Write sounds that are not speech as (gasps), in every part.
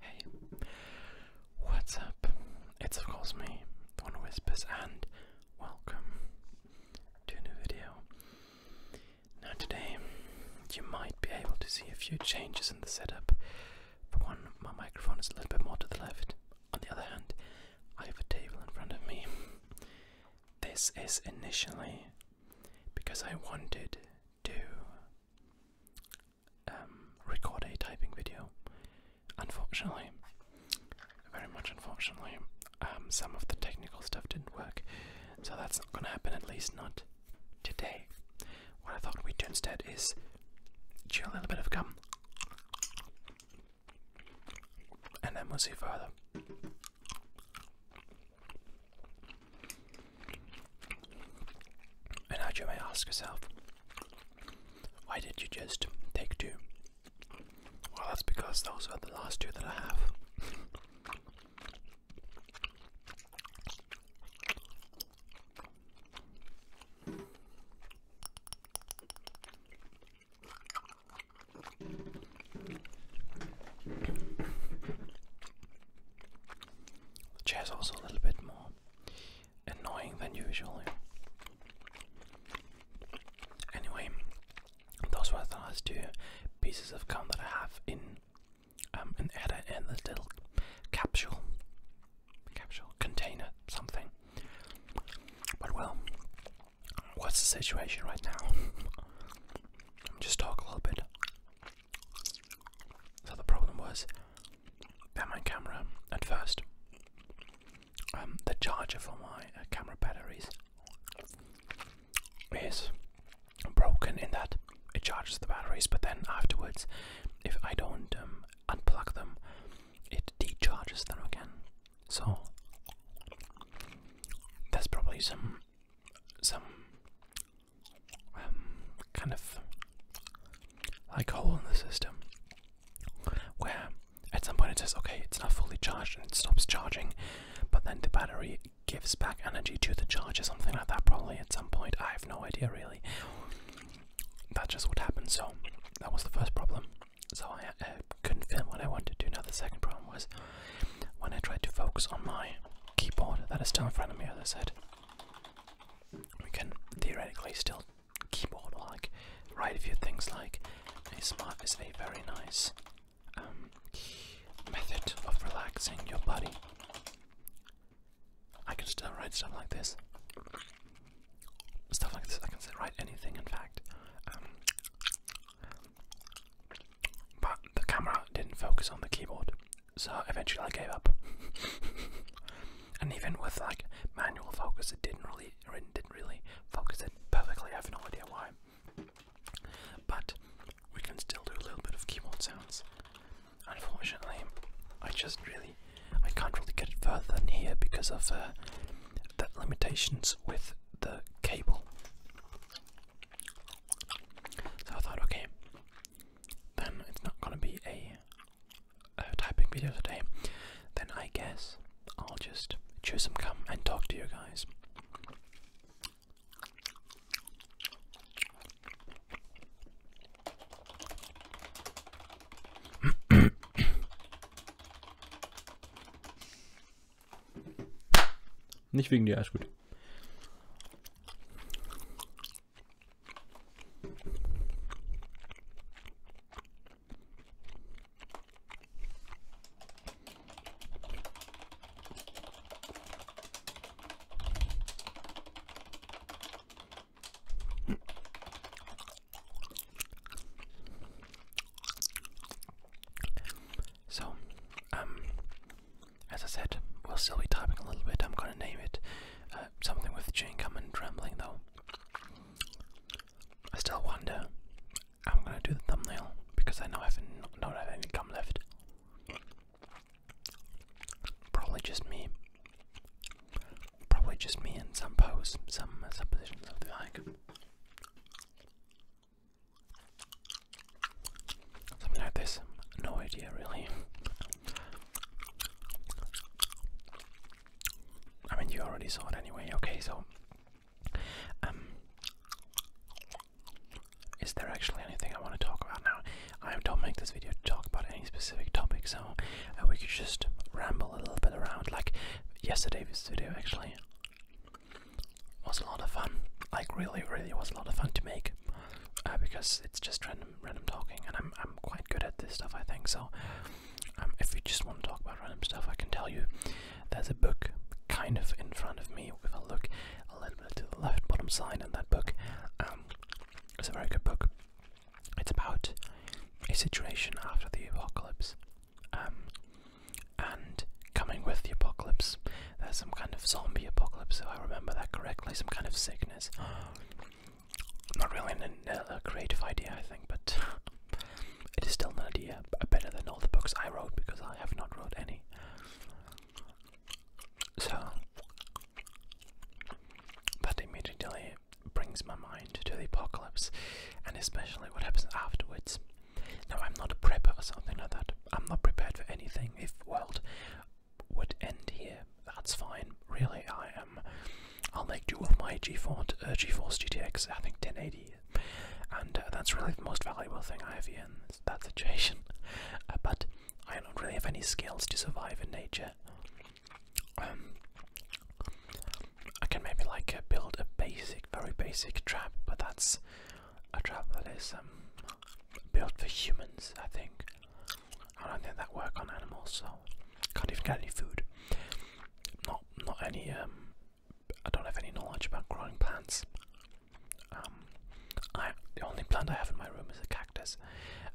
Hey, what's up? It's of course me, One Whispers, and welcome to a new video. Now, today you might be able to see a few changes in the setup. For one, my microphone is a little bit more to the left, on the other hand, I have a table in front of me. This is initially because I wanted to um, record a typing video. Unfortunately, very much unfortunately, um, some of the technical stuff didn't work, so that's not going to happen, at least not today. What I thought we'd do instead is chew a little bit of gum and then we'll see further. And now you may ask yourself, why did you just take two? Well, that's because those are the last two that I have. The chair's also a little bit more annoying than usual. Anyway, those were the last two pieces of gum that I have in um, an edit in this little capsule, capsule container, something. But well, What's the situation right now? (laughs) Just talk a little bit. So the problem was that my camera at first, um, the charger for my uh, camera batteries is broken in that it charges the batteries, but then afterwards, if I don't um, unplug them, it decharges them again. So there's probably some some um, kind of like hole in the system where at some point it says okay it's not fully charged and it stops charging but then the battery gives back energy to the charge or something like that probably at some point I have no idea really that just would happen so that was the first problem so I, couldn't film what I wanted to. Now the second problem was when I tried to focus on my keyboard that is still in front of me, as I said, we can theoretically still keyboard like write a few things like a smart is a very nice um, method of relaxing your body. I can still write stuff like this stuff like this. I can say write anything, in fact. Um, but the camera didn't focus on the keyboard, so eventually I gave up. (laughs) and even with like manual focus, it didn't really, didn't really focus it perfectly. I have no idea why. But we can still do a little bit of keyboard sounds. Unfortunately, I just really, I can't really get it further than here because of uh, the limitations with the cable. So I thought, okay, then it's not gonna be a, typing video today. Then I guess I'll just choose some come and talk to you guys. Nicht wegen dir, alles gut. So, um, as I said, we'll still be typing a little bit. I'm gonna name it uh, something with chewing and trembling, though. I still wonder. I'm gonna do the thumbnail because I know I haven't don't have any gum left. Probably just me. Probably just me and some pose, some uh, suppositions of the like. Something like this. No idea really. I mean, you already saw it anyway. Okay, so um, is there actually anything I want to talk about now? I don't make this video talk about any specific topic, so uh, we could just ramble a little bit around, like yesterday's video actually was a lot of fun. Like really, really was a lot of fun to make uh, because it's just random, random talking, and I'm I'm quite good at this stuff. I think so. Um, if you just want to talk about random stuff, I can tell you there's a book kind of in front of me. If I look a little bit to the left bottom side, and that book um, is a very good book. It's about a situation after the apocalypse. Um, and coming with the apocalypse. There's some kind of zombie apocalypse, if I remember that correctly, some kind of sickness. (gasps) Not really a creative idea, I think, but (laughs) it is still an idea uh, better than all the books I wrote because I have not wrote any. So that immediately brings my mind to the apocalypse and especially what happens afterwards. Now I'm not a prepper or something like that. I'm not prepared for anything. If world would end here, that's fine. Really, I am. I'll make do with my GeForce, uh, GTX. I think 1080, and uh, that's really the most valuable thing I have in that situation. Uh, but I don't really have any skills to survive in nature. Um, I can maybe like uh, build a basic, very basic trap, but that's a trap that is um, built for humans, I think. I don't think that work on animals, so can't even get any food. Not, not any. Um, I don't have any knowledge about growing plants. Um, the only plant I have in my room is a cactus.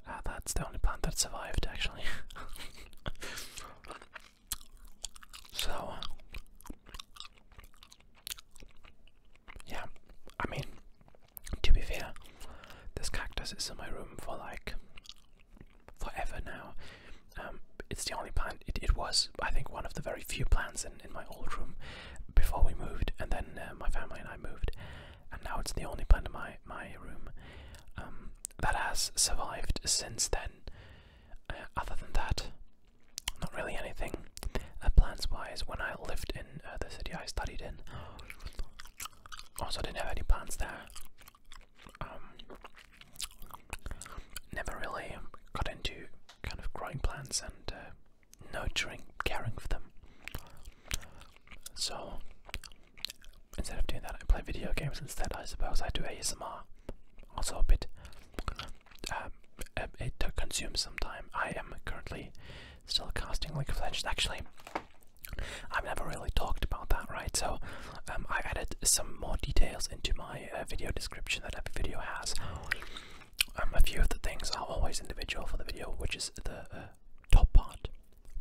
Uh, that's the only plant that survived, actually. (laughs) So, yeah, I mean, to be fair, this cactus is in my room for like forever now. Um, it's the only plant, it, it was, I think, one of the very few plants in, in my old room before we moved, and then uh, my family and I moved, and now it's the only plant in my, my room um, that has survived since then other than that, not really anything. Uh, plans wise, when I lived in uh, the city I studied in, also didn't have any plans there. Um, never really got into kind of growing plants and uh, nurturing, caring for them. So instead of doing that, I play video games instead. I suppose I do ASMR also a bit um, it consumes some time. I am currently still casting like of Legends. Actually, I've never really talked about that, right? So um, I added some more details into my uh, video description that every video has. Um, a few of the things are always individual for the video, which is the uh, top part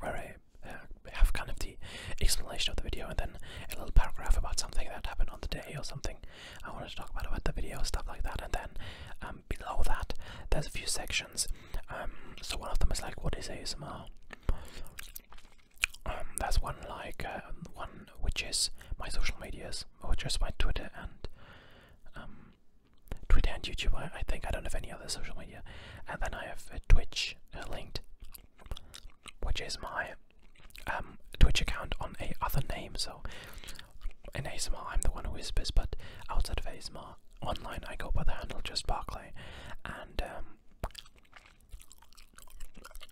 where I uh, have kind of the explanation of the video and then a little paragraph about something that happened on the day or something I wanted to talk about about the video, stuff like that. And then um, below that, there's a few sections. Um, so one of them is like, what is ASMR? Um, there's one like uh, one which is my social medias, which is my Twitter and um, Twitter and YouTube. I, think I don't have any other social media, and then I have uh, Twitch uh, linked which is my um, Twitch account on a other name. So in ASMR, I'm the one who whispers, but outside of ASMR, online, I go by the handle just Barclay, and um,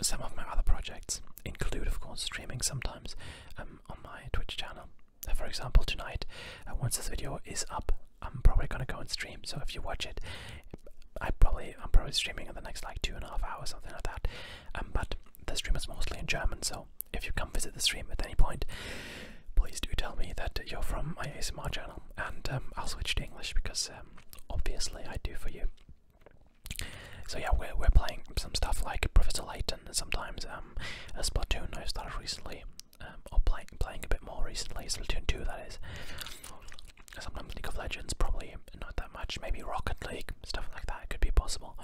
some of my other projects include, of course, streaming sometimes um, on my Twitch channel. for example, tonight, uh, once this video is up, I'm probably gonna go and stream. So if you watch it, I probably I'm probably streaming in the next like two and a half hours, something like that. Um, but the stream is mostly in German, so if you come visit the stream at any point, please do tell me that you're from my ASMR channel, and um, I'll switch to English because um, obviously I do for you. So yeah, we're we're playing some stuff like Professor Layton, and sometimes a Splatoon I started recently, or playing playing a bit more recently, Splatoon two that is. Sometimes League of Legends, probably not that much. Maybe Rocket League, stuff like that. could be possible.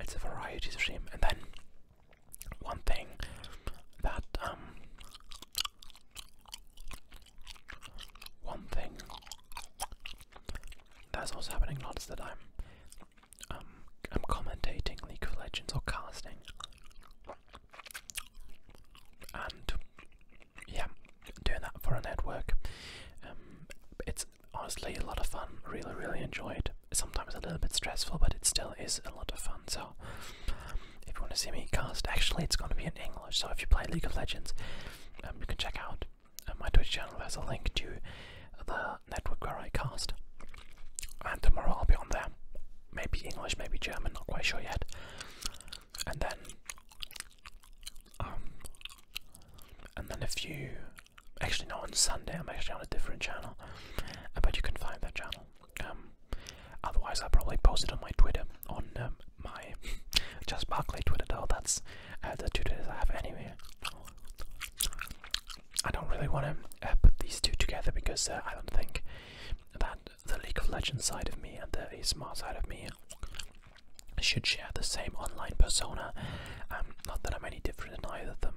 It's a variety of stream. And then one thing that um one thing that's also happening lots that I'm um I'm commentating League of Legends or casting. And yeah, doing that for a network. Um, it's honestly a lot of fun. Really, really enjoyed. Sometimes a little bit stressful, but it still is a lot of fun. So, if you want to see me cast, actually, it's going to be in English. So, if you play League of Legends, um, you can check out uh, my Twitch channel. There's a link to the network where I cast. And tomorrow I'll be on there. Maybe English, maybe German, not quite sure yet. And then um, and then if you actually not on Sunday, I'm actually on a different channel, uh, but you can find that channel. Um, otherwise, I'll probably post it on my Twitter, on um, my (laughs) just Barclay Twitter. Though that's uh, the two Twitters I have anyway. I don't really want to uh, put these two together because I don't think that the League of Legends side of me and the ASMR side of me should share the same online persona. Um, not that I'm any different in either of them.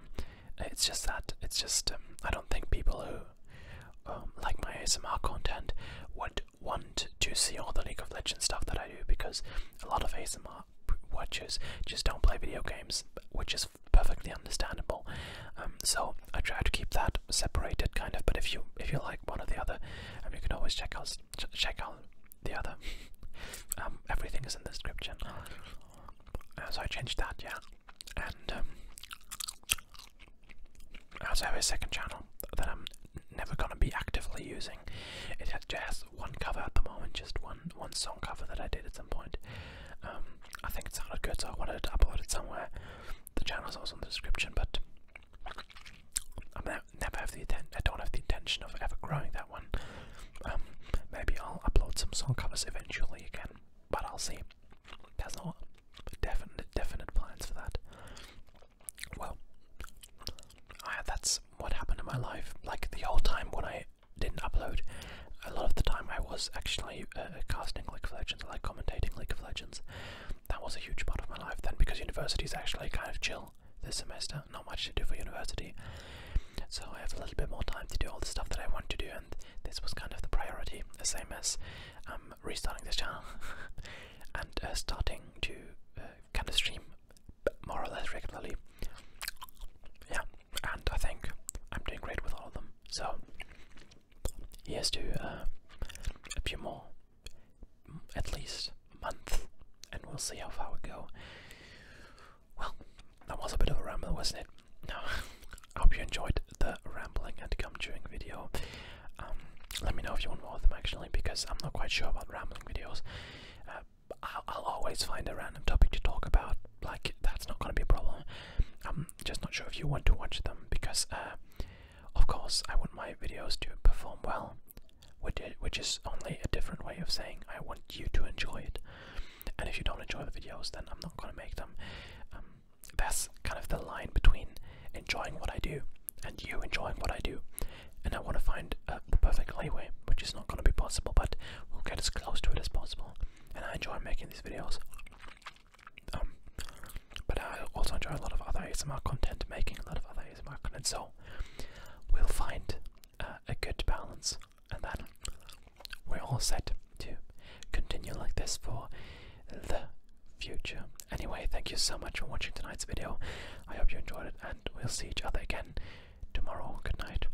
It's just that it's just um, I don't think people who um, like my ASMR content would want to see all the League of Legends stuff that I do because a lot of ASMR watchers just don't play video games, which is perfectly understandable. so I try to keep that separated, kind of. But if you if you like one or the other, um, you can always check out check out the other. Um, everything is in the description. so I changed that, yeah. And um, I also have a second channel that I'm never gonna be actively using. It has just one cover at the moment, just one one song cover that I did at some point. Um, I think it sounded good, so I wanted to upload it somewhere. The channel is also in the description, but I never have the intent. I don't have the intention of ever growing that one. Um, maybe I'll upload some song covers eventually again, but I'll see. There's no definite definite plans for that. Well, that's what happened in my life. Like the old time when I didn't upload, a lot of the time I was actually uh, casting League of Legends, like commentating League of Legends. That was a huge part of my life then, because university is actually kind of chill this semester, not much to do for university. So I have a little bit more time to do all the stuff that I want to do, and this was kind of the priority, the same as um, restarting this channel (laughs) and uh, starting to uh, kind of stream more or less regularly. Yeah, and I think I'm doing great with all of them. So here's to uh, a few more at least month, and we'll see how far we go. Well, that was a bit of a ramble, wasn't it? Now, I (laughs) hope you enjoyed the rambling and gum chewing video. Um, let me know if you want more of them actually, because I'm not quite sure about rambling videos. Uh, I'll, always find a random topic to talk about, like, that's not going to be a problem. I'm just not sure if you want to watch them, because, uh, of course, I want my videos to perform well, which is only a different way of saying I want you to enjoy it. And if you don't enjoy the videos, then I'm not gonna make them. Um, that's kind of the line between enjoying what I do and you enjoying what I do. And I want to find the perfect layway, which is not gonna be possible, but we'll get as close to it as possible. And I enjoy making these videos. Um, but I also enjoy a lot of other ASMR content, making a lot of other ASMR content. So we'll find uh, a good balance, and then we're all set to continue like this for the future. Anyway, thank you so much for watching tonight's video. I hope you enjoyed it, and we'll see each other again tomorrow. Good night.